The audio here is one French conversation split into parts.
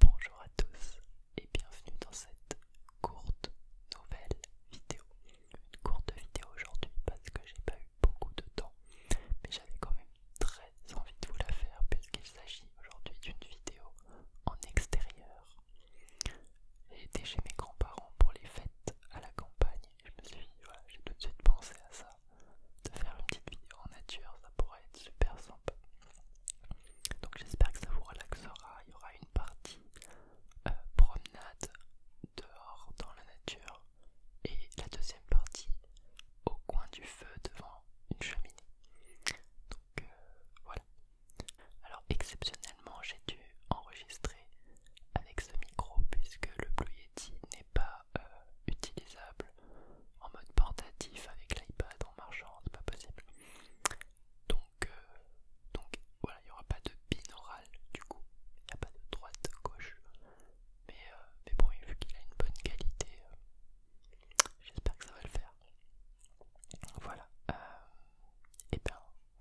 Bonjour à tous et bienvenue dans cette courte nouvelle vidéo. Une courte vidéo aujourd'hui parce que j'ai pas eu beaucoup de temps, mais j'avais quand même très envie de vous la faire puisqu'il s'agit aujourd'hui d'une vidéo en extérieur. J'étais chez mes grands-parents pour les fêtes à la campagne et je me suis dit, voilà, j'ai tout de suite pensé à ça, de faire une petite vidéo en nature, ça pourrait être super sympa. Donc j'espère que ça vous relaxera. Il y aura une partie euh, promenade dehors dans la nature et la deuxième partie au coin du feu devant une cheminée. Donc euh, voilà. Alors exceptionnellement j'ai dû enregistrer avec ce micro puisque le Blue Yeti n'est pas euh, utilisable en mode portatif avec l'iPad en marchant, c'est pas possible. Donc, euh, donc voilà, il n'y aura pas de binaural du coup, il n'y a pas de droite, gauche. Mais, euh, mais bon, vu qu'il a une bonne qualité, euh, j'espère que ça va le faire. Voilà, et eh ben,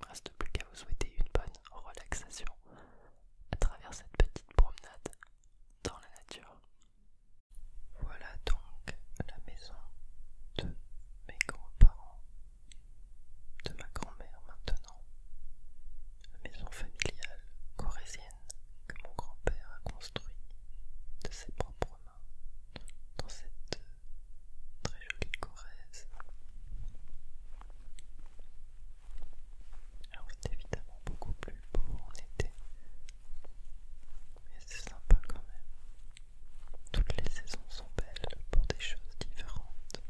reste plus qu'à vous souhaiter une bonne relaxation à travers cette petite promenade dans la nature. Voilà donc la maison de mes grands-parents, de ma grand-mère maintenant, la maison familiale corésienne que mon grand-père a construit de ses propres mains dans cette très jolie Corrèze. Alors c'est évidemment beaucoup plus beau en été mais c'est sympa quand même. Toutes les saisons sont belles pour des choses différentes.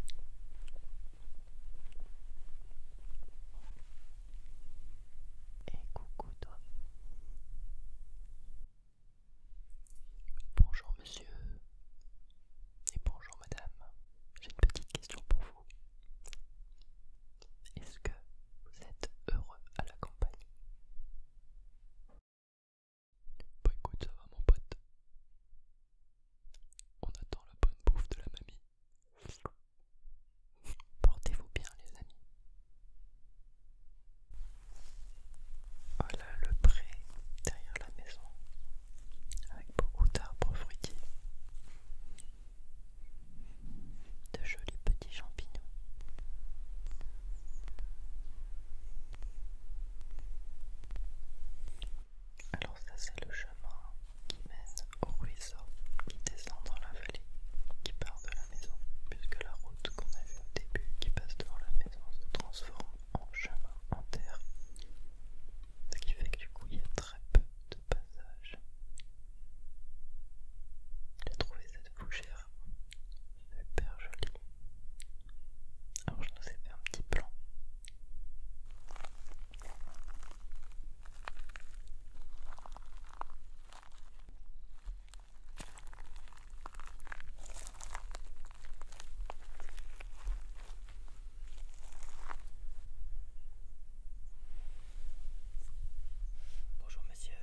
Et coucou toi. Bonjour monsieur. Et bonjour madame. J'ai une petite question pour vous. Est-ce que vous êtes heureux à la campagne Bah écoute, ça va mon pote. On attend la bonne bouffe de la mamie. Portez-vous bien les amis. Voilà le pré derrière la maison avec beaucoup d'arbres fruitiers de jolis petits champignons. Alors ça c'est le chemin qui mène au ruisseau qui descend dans la vallée, qui part de la maison, puisque la route qu'on a vue au début qui passe devant la maison se transforme en chemin en terre. Ce qui fait que du coup il y a très peu passage. J'ai trouvé cette fougère super jolie. Alors je nous ai fait un petit plan. Bonjour monsieur,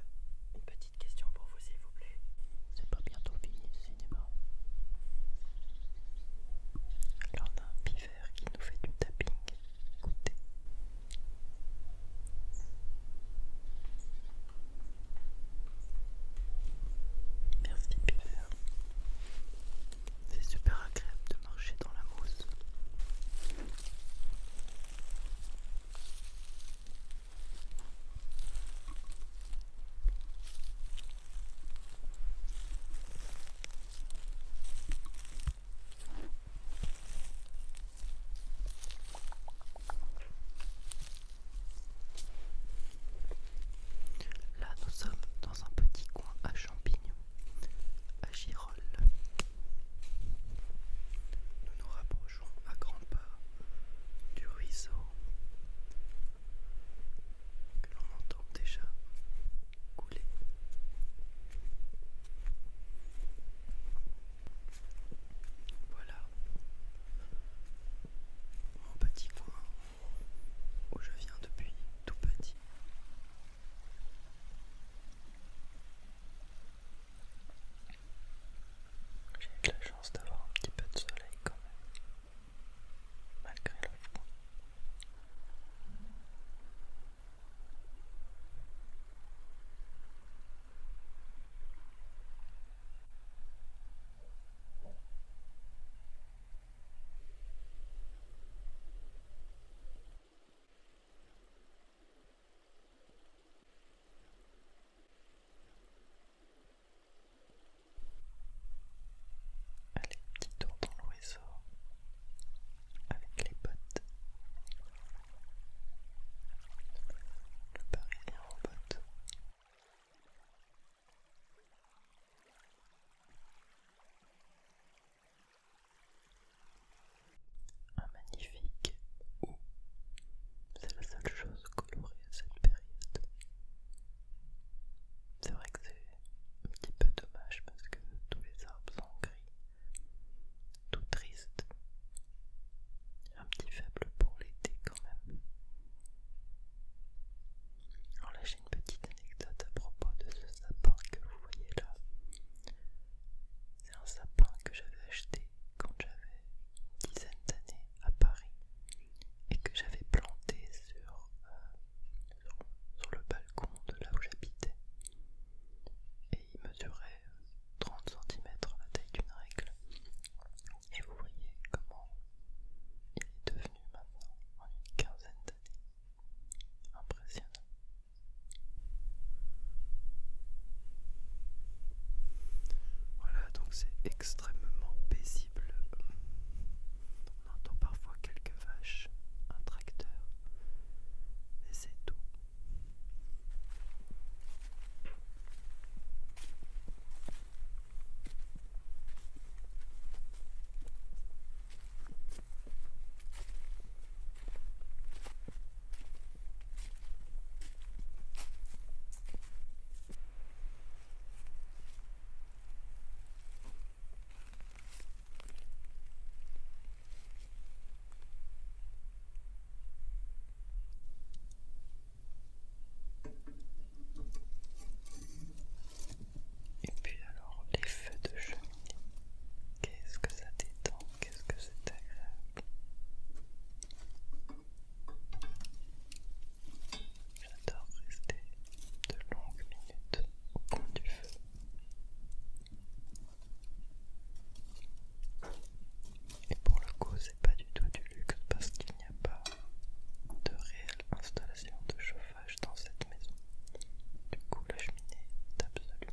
une petite question pour vous s'il vous plaît. C'est pas bientôt fini le cinéma. Alors on a un Piver qui nous fait du tapping. Écoutez. Merci C'est super agréable de marcher dans la mousse. Là, nous sommes dans un petit coin à champignons à Girole Nous nous rapprochons à grands pas du ruisseau que l'on entend déjà couler. Voilà mon petit coin où je viens depuis tout petit. J'ai eu de la chance d'avoir un petit peu de soleil quand même, malgré le froid. Allez, petit tour dans le réseau avec les bottes. Le parisien en bottes. Un magnifique ou c'est la seule chose colorée à cette période. C'est vrai que c'est un petit peu dommage parce que tous les arbres sont gris, tout triste. Un petit faible pour l'été quand même. Alors là j'ai une petite anecdote à propos de ce sapin que vous voyez là. C'est un sapin que j'avais acheté quand j'avais une dizaine d'années à Paris et que j'avais planté sur, euh, le balcon de là où j'habitais. Et il mesurait 30 cm la taille d'une règle. Et vous voyez comment il est devenu maintenant en une quinzaine d'années. Impressionnant. Voilà, donc c'est extrêmement paisible. On entend parfois quelques vaches, un tracteur, mais c'est tout. Et puis alors les feux de cheminée, qu'est-ce que ça détend qu'est-ce que c'est agréable. J'adore rester de longues minutes au coin du feu. Et pour le coup, c'est pas du tout du luxe parce qu'il n'y a pas de réelle installation de chauffage dans cette maison. Du coup, la cheminée est absolument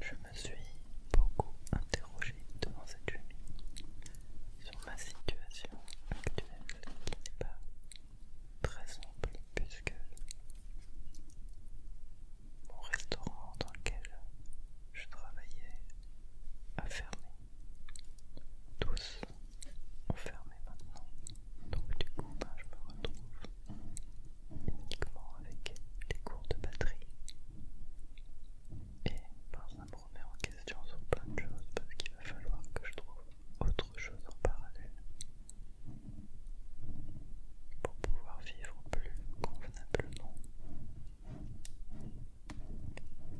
Je me suis beaucoup interrogé devant cette nuit sur ma situation actuelle qui n'est pas très simple puisque mon restaurant dans lequel je travaillais a fermé tous fermé maintenant. Donc du coup, ben, je me retrouve uniquement avec les cours de batterie. Et par un ben, me remet en question sur plein de choses parce qu'il va falloir que je trouve autre chose en parallèle pour pouvoir vivre plus convenablement.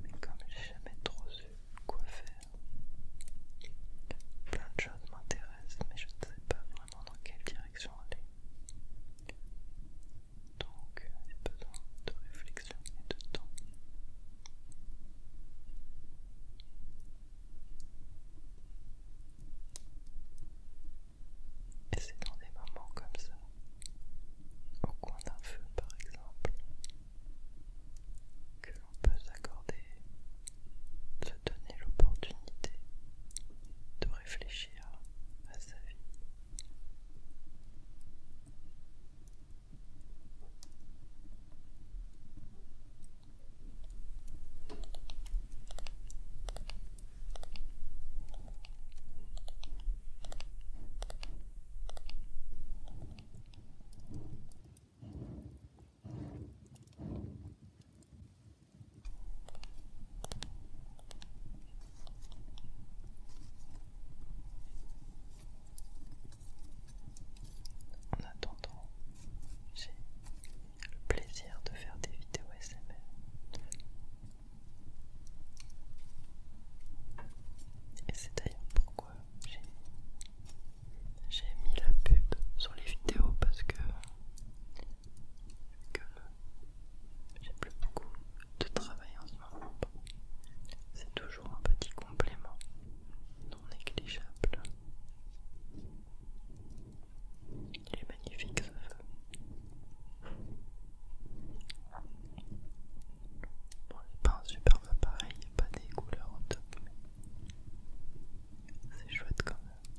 Mais comme j'ai jamais trop quoi faire. Plein de choses m'intéressent, mais je ne sais pas vraiment dans quelle direction aller. Donc, euh, j'ai besoin de réflexion et de temps. Et c'est dans des moments comme ça, au coin d'un feu par exemple, que l'on peut s'accorder, se donner l'opportunité de réfléchir à sa vie. En attendant, j'ai le plaisir de faire des vidéos SMR. Et c'est d'ailleurs pourquoi j'ai j'ai mis la pub sur les vidéos parce que, j'ai plus beaucoup de travail en ce moment. C'est toujours un petit complément non négligeable. Il est magnifique ce feu. Bon, c'est pas un superbe appareil, pas des couleurs en top, mais c'est chouette quand même.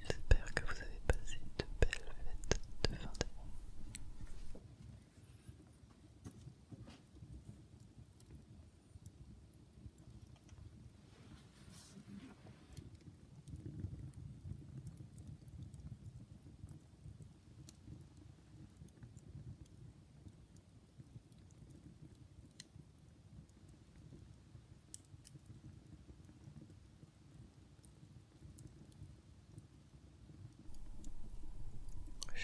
J'espère que vous avez passé de belles fêtes de fin d'année.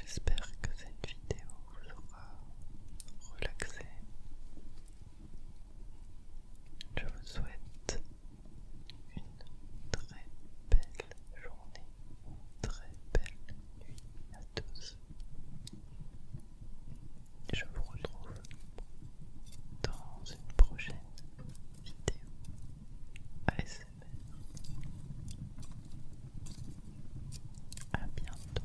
J'espère que cette vidéo vous aura relaxé. Je vous souhaite une très belle journée, une très belle nuit à tous. Je vous retrouve dans une prochaine vidéo ASMR. À bientôt.